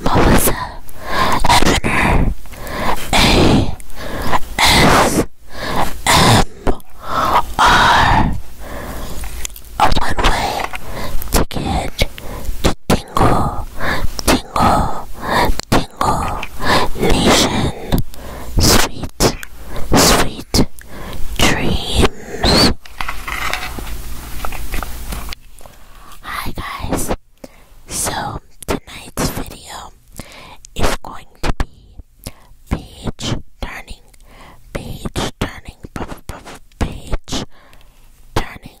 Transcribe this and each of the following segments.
Melissa Evaner A S M R A one way ticket to Tingle Tingle Tingle Nation Sweet Sweet Dreams Hi guys! So tonight's video is going to be page turning, page turning, page turning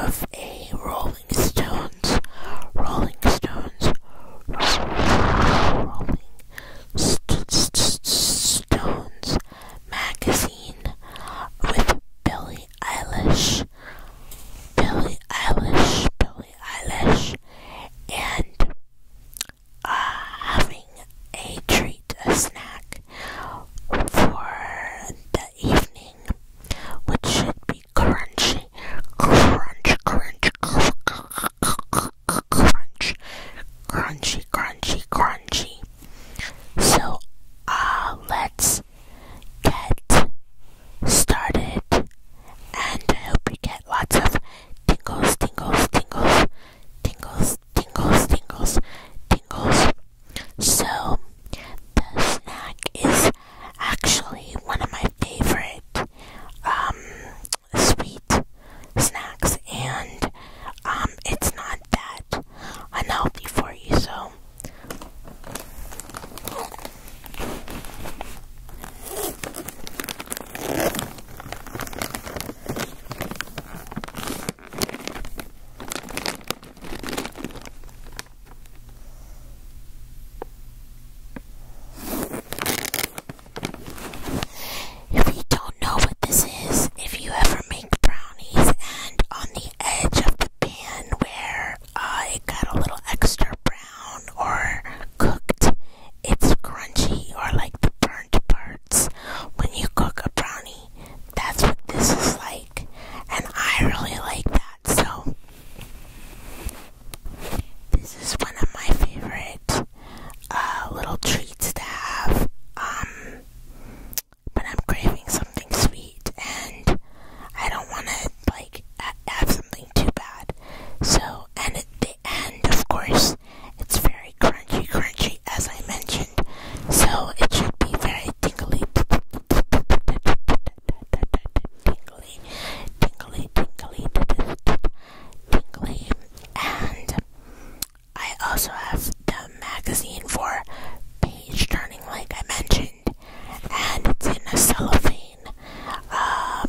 of a Rolling Stones, Rolling Stones, Rolling Stones magazine with Billy Billie Eilish, Billie Eilish, Billie Eilish, and uh, having a treat, a snack for the evening, which should be crunchy, crunch, crunch, crunch, crunch, crunchy, crunchy, crunchy. So, uh, let's get started and I hope you get lots of tingles, tingles, tingles, tingles, tingles, tingles, tingles. So, the snack is actually one of my favorite um, sweet snacks, and um, it's not that unhealthy for you, so if you don't know what this is, if you ever make brownies and on the edge of the pan where it got a little extra brown or cooked. It's crunchy or like the burnt parts when you cook a brownie. That's what this is like, and I really like that. So, this is one of my favorite uh, little treats to have. Um, but I'm craving something sweet and I don't want to like have something too bad. So, and at the end, of course, it's very crunchy, crunchy as I mentioned. So it should be very tingly, tingly, tingly, tingly, tingly, and I also have the magazine for page turning, like I mentioned and it's in a cellophane, um,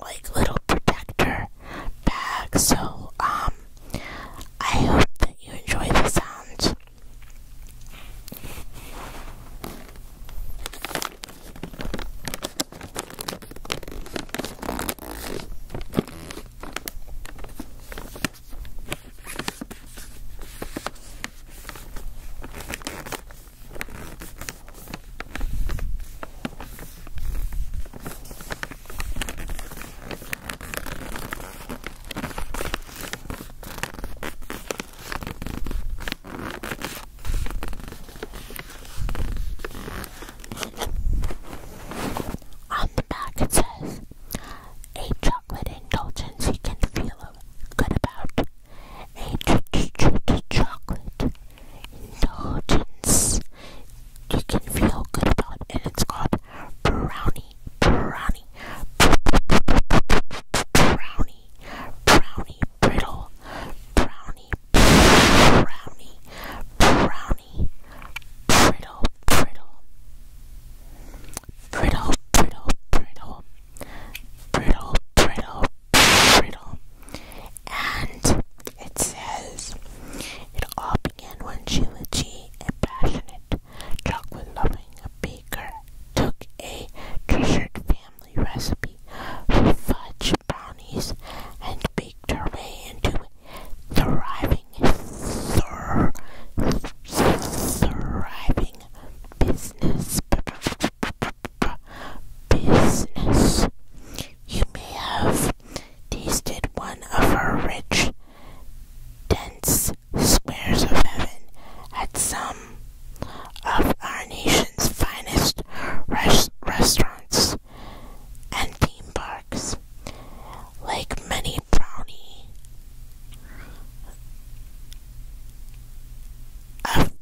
like little protector bag. So, um, I hope that you enjoy the sound. On the back it says, HR chocolate indulgence you can feel good about. A chocolate indulgence you can feel good about, and it's called brownie, brownie, brownie, brownie brittle, brownie, brownie, brittle, brittle, brittle, brittle, brittle brittle, brittle, brittle. And it says it all began when Shilichi, a passionate, chocolate loving baker, took a treasured family recipe for fudge brownies and baked her way into thriving, thriving business. Business. You may have tasted one of her rich, dense squares of heaven at some of our nation's finest restaurants and theme parks. Like many brownie of,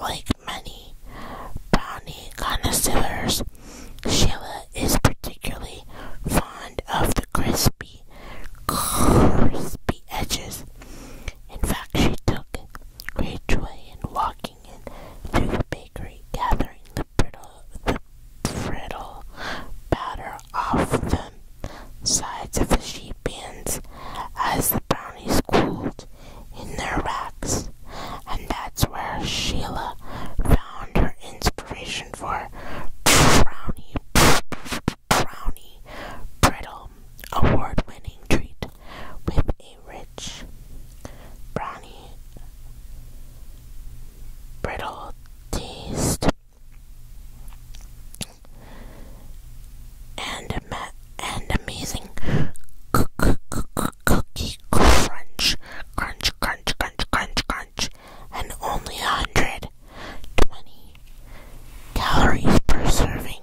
like many brownie connoisseurs, Sheila is particularly fond of the crispy, crispy edges. In fact, she took great joy in walking in through the bakery, gathering the brittle, the brittle batter were off the sides of the sheep pens, as the brownies cooled in their racks, and that's where Sheila found her inspiration for brownie, brownie brittle, award-winning treat with a rich brownie brittle taste and and amazing cookie crunch, crunch, crunch, crunch, crunch, crunch, and only 120 calories per serving.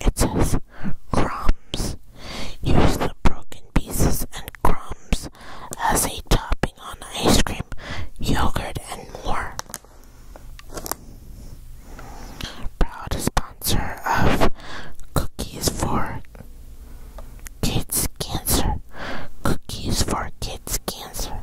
It says crumbs. Use the broken pieces and crumbs as a topping on ice cream, yogurt, and more. Proud sponsor of Cookies for Kids Cancer. Cookies for Kids Cancer.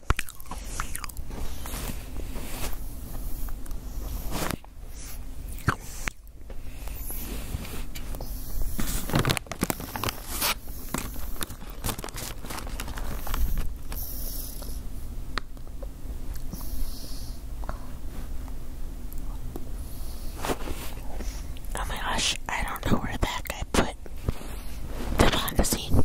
Oh my gosh, I don't know where back I put the magazine.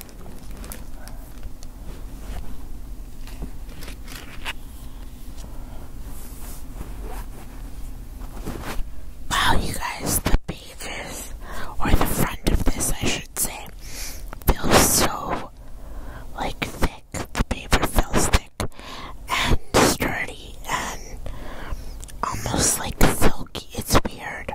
Wow, you guys, the pages, or the front of this, I should say, feels so like thick. The paper feels thick and sturdy and almost like silky. It's weird.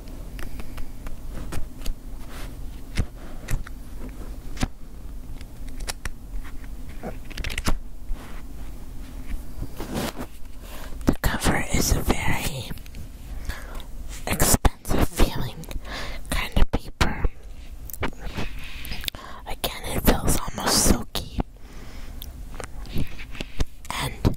The cover is a very expensive feeling kind of paper. Again, it feels almost silky. And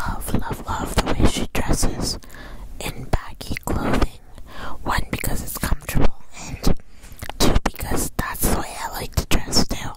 I love, love, love the way she dresses in baggy clothing. One, because it's comfortable, and two, because that's the way I like to dress Still.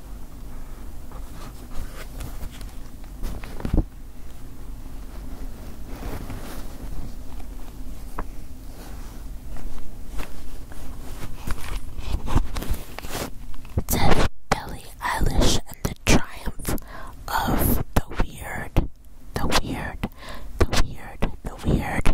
Dead Billie Eilish and the triumph of the weird, the weird, the weird, the weird.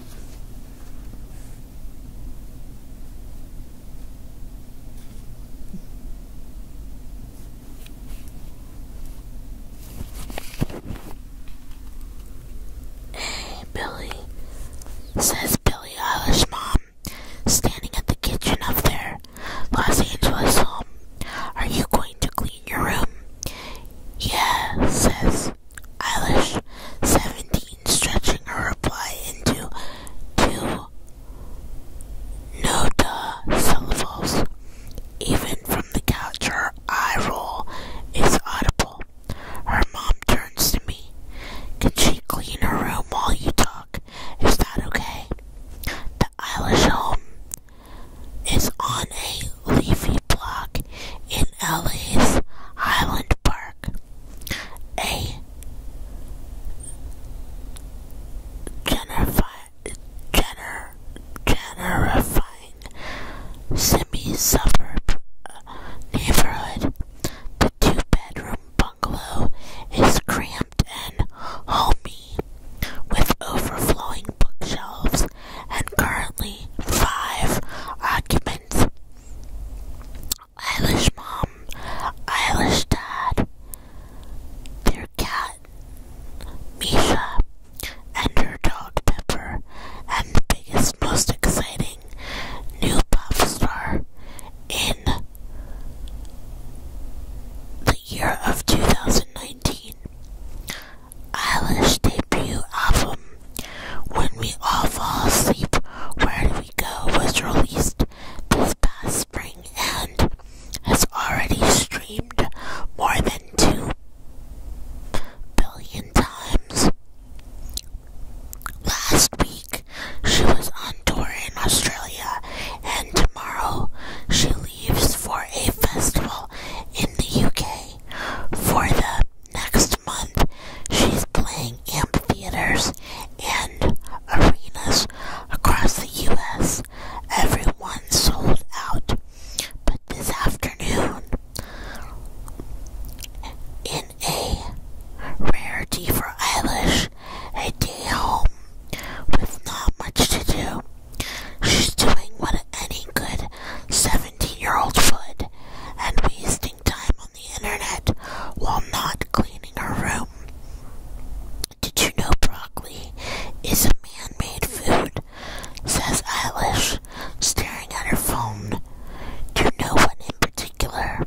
Hey, Billy, says Billy Eilish mom, standing at the kitchen up there, Los Angeles home. Are you going to clean your room? "Yes," says Eilish, 17, stretching her reply into two no-duh syllables. Even from the couch, her eye roll is audible. Her mom turns to me. Can she clean her room while you talk? Is that okay? The Eilish home is on a leafy block in LA's Highland Park. A gentrifying semi-suburb uh, neighborhood. The two-bedroom bungalow is cramped and homey, with overflowing bookshelves and currently five occupants. Eilish mom, Eilish dad, their cat, Misha, and her dog Pepper, and the biggest, most exciting new pop star in the year of 2019. Eilish debut album, When We All Fall Asleep, Where Do We Go, was released this past spring and has already streamed more than 2 billion times. Last week, she was on tour in Australia, and tomorrow, she leaves for a festival in the UK for the Next month, she's playing amphitheaters and arenas across the U.S. Everyone sold out. But this afternoon, in a rarity for Eilish, a day home with not much to do, she's doing what any good seven 17 year old would, and wasting time on the internet while not cleaning her room. Did you know broccoli is a man made food? says Eilish, staring at her phone. Do you know one in particular?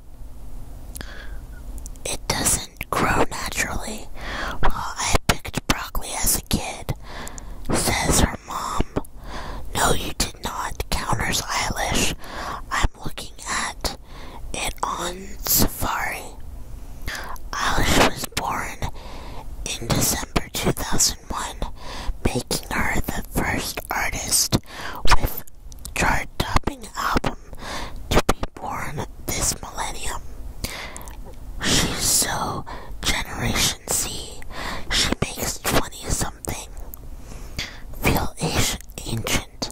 It doesn't grow naturally. Well, I picked broccoli as a kid, says her mom. No, you not counters Eilish. I'm looking at it on Safari. Eilish was born in December 2001, making her the first artist with chart-topping album to be born this millennium. She's so generation agency. She makes 20 something feel ancient.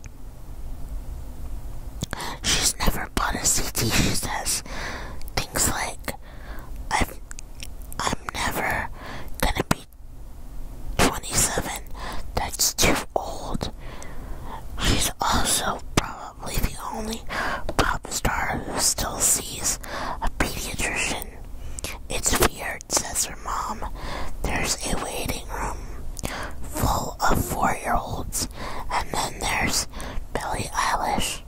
She's never bought a CD, she says. Things like, i I'm never gonna be 27, that's too old. She's also probably the only pop star who still sees a pediatrician it's weird, says her mom. There's a waiting room full of four year olds, and then there's Billie Eilish.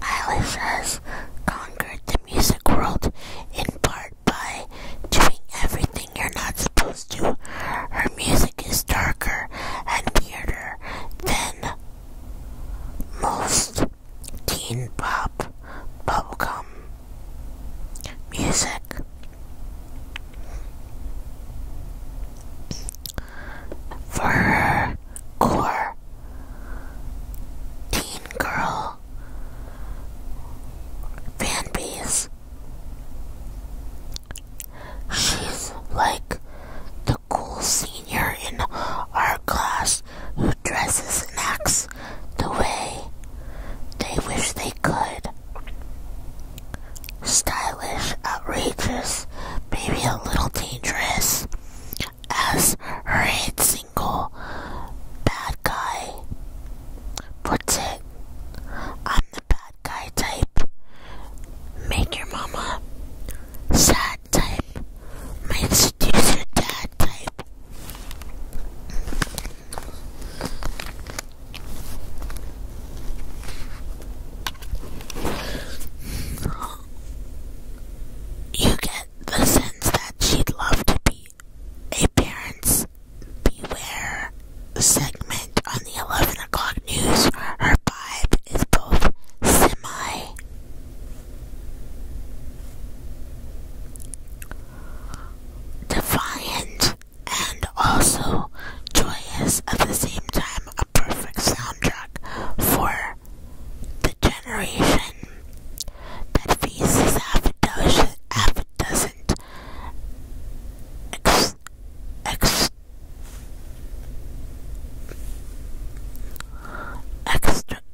Eilish has conquered the music world in part by doing everything you're not supposed to. Her music is darker and weirder than most teen pop bubblegum music. For core teen girl fan She's like the cool senior in our class who dresses and acts the way they wish they could. Stylish, outrageous, maybe a little dangerous, as her hits single bad guy. What's it? I'm the bad guy type. Make your mama sad type. Might seduce your dad type. You get the sense that she'd love to be Appearance, Beware segment on the 11 o'clock news. Her vibe is both semi defiant and also joyous at the same time, a perfect soundtrack for the generation that faces half a dozen,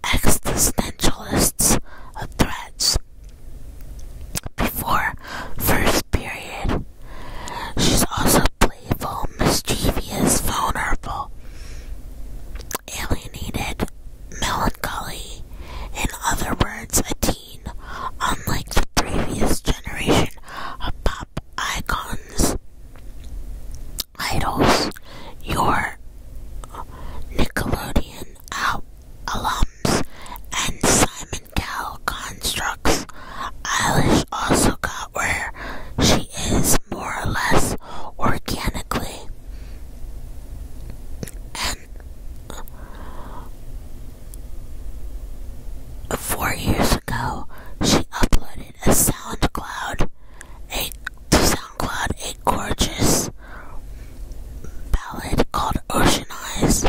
existentialists threats. Before first period, she's also playful, mischievous, vulnerable alienated, melancholy, in other words, a teen, unlike the previous generation of pop icons. Idols, your Nickelodeon alums, and Simon Cowell constructs. Eilish also got where she is more or less organically. Four years ago, she uploaded a SoundCloud, a SoundCloud a gorgeous ballad called "Ocean Eyes,"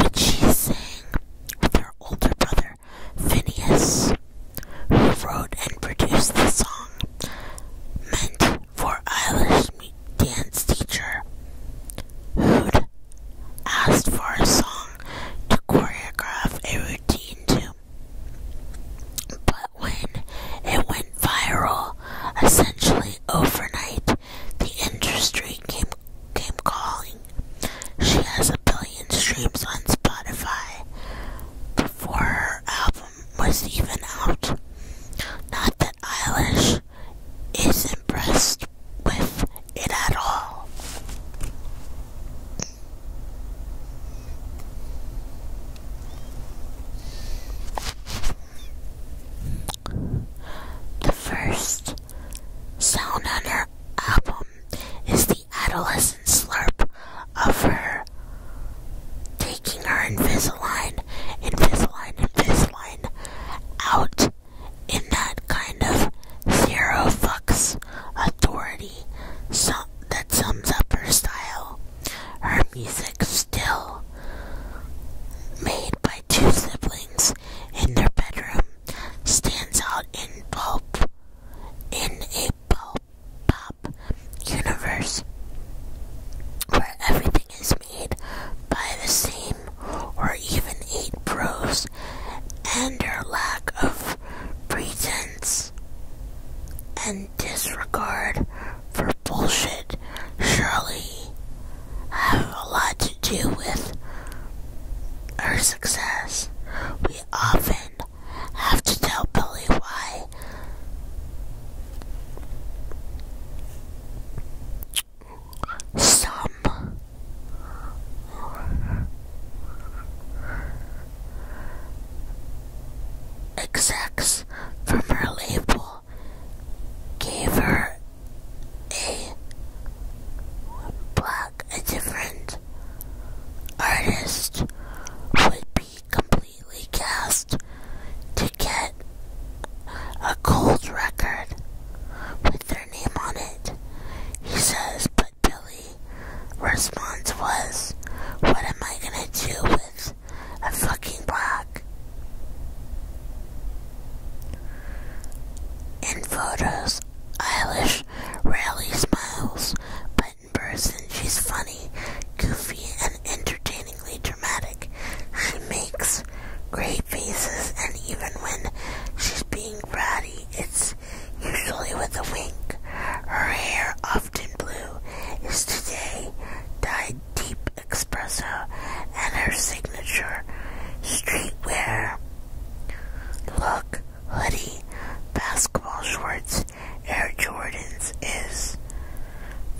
which she sang with her older brother Phineas, who wrote and produced the song. Meant for Irish dance teacher who'd asked for a song to choreograph a routine to. But when it went viral, essentially overnight, the industry came came calling. She has a billion streams on Spotify before her album was even out. Not that Eilish is impressed with it at all. The first sound on her album is the adolescent slurp of her taking her Invisalign, Invisalign, Invisalign out in that kind of zero fucks authority so that sums up her style. Her music still made by two siblings in their bedroom stands out in pulp in a pulp universe where everything is made by the same or even eight pros and their lack of pretense and disregard for bullshit surely have a lot to do with our success. We often have to tell Billy why some execs from her label gave her a black, a different artist would be completely completely guessed to get a gold record with their name on it. He says, but Billy response was, What am I gonna do with a fucking black? In photos, Eilish rarely smiles, but in person she's funny goofy, and entertainingly dramatic. She makes great faces, and even when she's being bratty, it's usually with a wink. Her hair, often blue, is today dyed deep espresso, and her signature streetwear look, hoodie, basketball shorts, Air Jordans is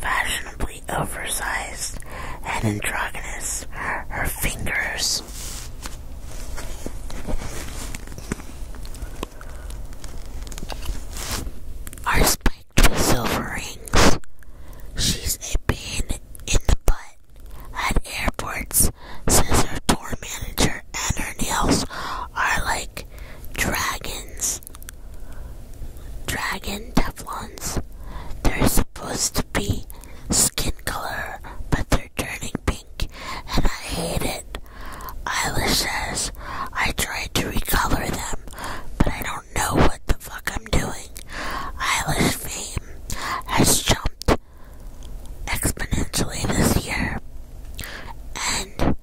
fashionable oversized and androgynous. Her fingers are spiked with silver rings. She's a pain in the butt at airports, says her tour manager, and her nails are like dragons Dragon Teflons. They're supposed to be skin color, but they're turning pink, and I hate it. Isla says, I tried to recolor them, but I don't know what the fuck I'm doing. Isla's fame has jumped exponentially this year, and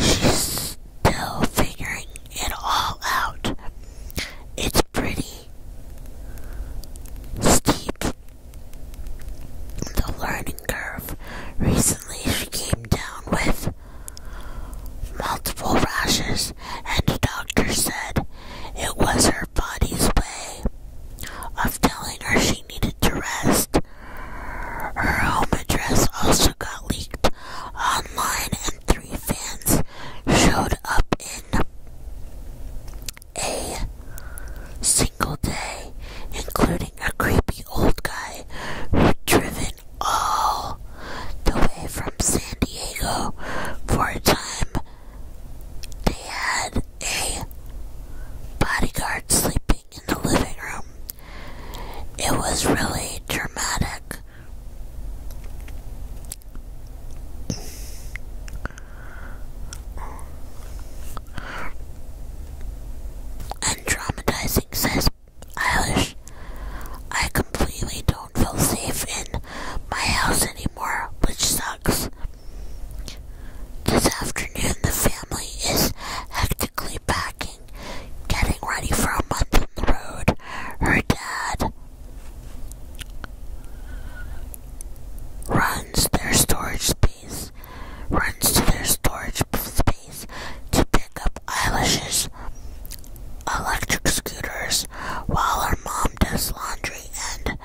she's still figuring it all out. It's pretty steep. The learning curve. Recently, she came down with multiple rashes, and the doctor said it was her body's way of telling her she needed to rest. Her home address also got leaked online three fans showed up in a single day, including a creepy old guy who driven all the way from San Diego for a time. They had a bodyguard sleeping in the living room. It was really dramatic. And says, I I completely don't feel safe in my house anymore, which sucks. This afternoon, the family is hectically packing getting ready for a month on the road. Her dad runs their storage space, runs to their storage space to pick up Eilish's electric scooters while her mom does laundry and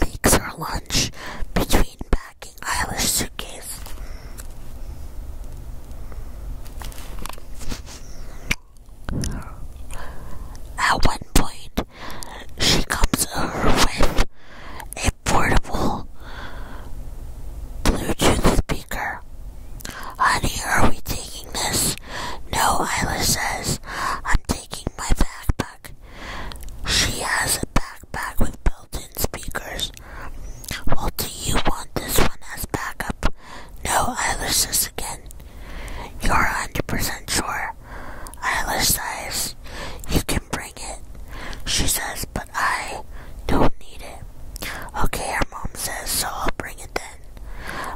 makes her lunch between packing Eilish's suitcase. At one point, she comes over with a portable Bluetooth speaker. Honey, are we taking this? No, Isla says. I'm taking my backpack. She has a backpack with built in speakers well, do you want this one as backup? No, eyelash this again. You're 100% sure. Eyelash size. You can bring it. She says, but I don't need it. Okay, her mom says, so I'll bring it then.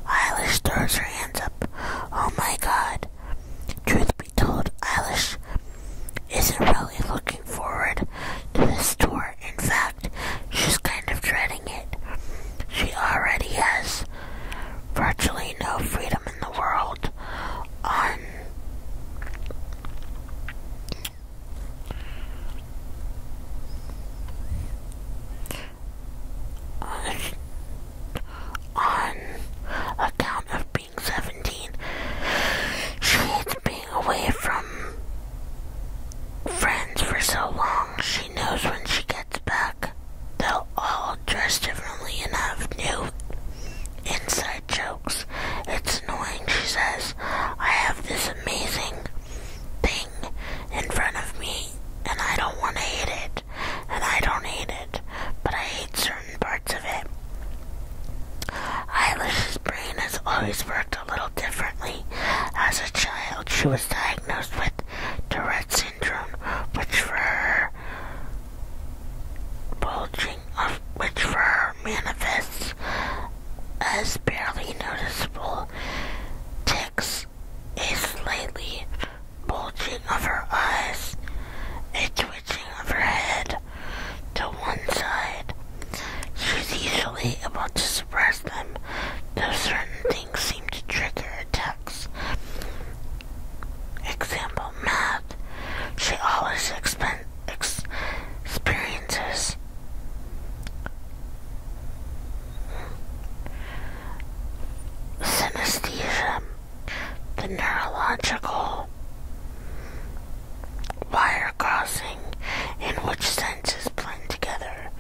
Eilish throws her hands up. Oh my god. Truth be told, Eilish isn't really looking forward to this tour. In fact, She's kind of dreading it. She already has virtually no freedom in the world on on, account of being 17. She hates being away from friends for so long, she knows when she gets back, they'll all dress differently and have new inside jokes. It's annoying, she says. I have this amazing thing in front of me, and I don't want to hate it, and I don't hate it, but I hate certain parts of it. Eilish's brain has always worked a little differently. As a child, she was diagnosed with Tourette syndrome, which for her bulging of which for her manifests as barely noticeable tics, a slightly bulging of her eyes, a twitching of her head to one side, She's usually able to suppress them, though certain things seem to trigger attacks. Example, math. She always ex experiences synesthesia, the neurological wire crossing in which senses blend together.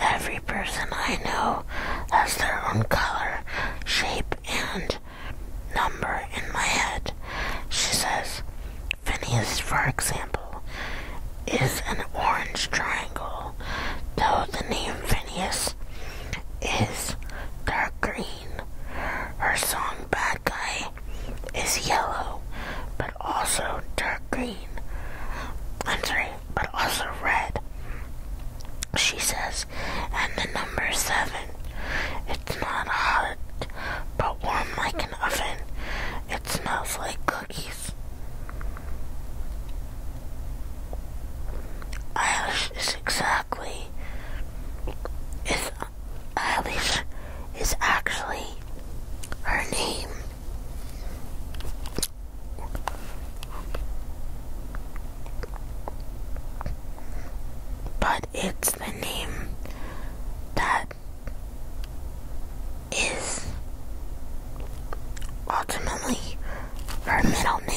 Every person I know has their own color, shape, and number in my head. She says, Phineas, for example, is an orange triangle, though the name Phineas is dark green. Her song Bad Guy is yellow, but also dark green green, i but also red. She says, and the number seven. It's not hot, but warm like an oven. It smells like cookies. Eilish is exactly is Eilish is actually her name but it's the name that is ultimately her middle name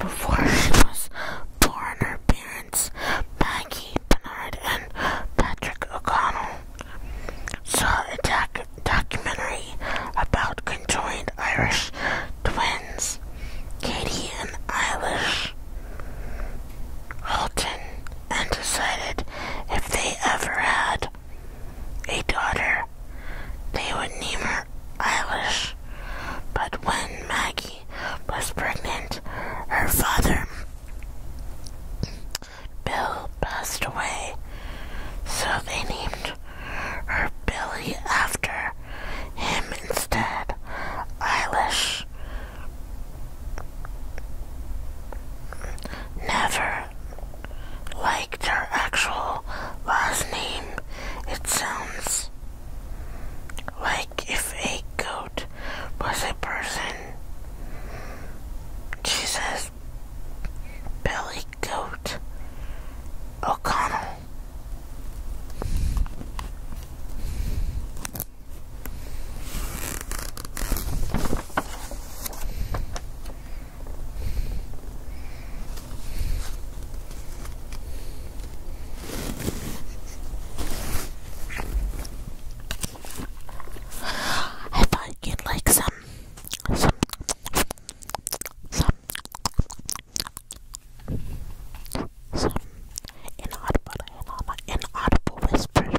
before she was born, her parents, Maggie Bernard and Patrick O'Connell, saw a documentary about conjoined Irish twins, Katie and Eilish Holton, and decided if they ever had a daughter, they would name her Eilish. But when Maggie was pregnant, her father, Bill, passed away, so they named her Billy after him instead. Eilish never liked her actual last name, it sounds. Like if a goat was a person, she says Billy Goat O'Connell. I thought you'd like some, some, some, some inaudible, inaudible, inaudible whispers.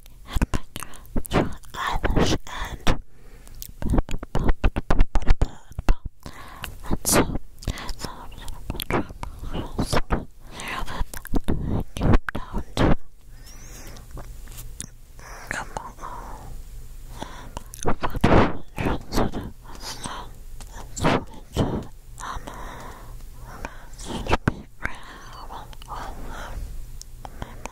and bring your eyelash and and so now I'm gonna put your and keep down to come on and put your and so it's um,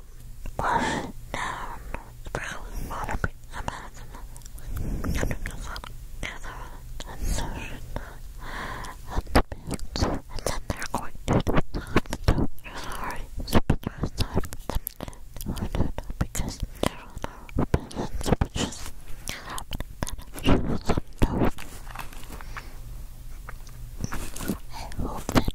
It was down sprawling modern American underground gatherings and social and and then they're going to the hospital. Sorry, superstars time. No, no, because there are no opinions, which is happening then. She was I hope that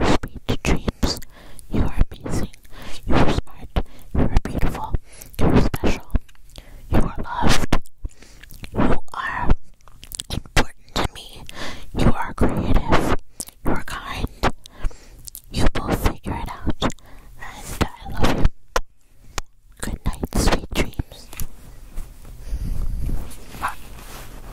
Sweet dreams. You are amazing. You are smart. You are beautiful. You are special. You are loved. You are important to me. You are creative. You are kind. You both figure it out. And I love you. Good night, sweet dreams.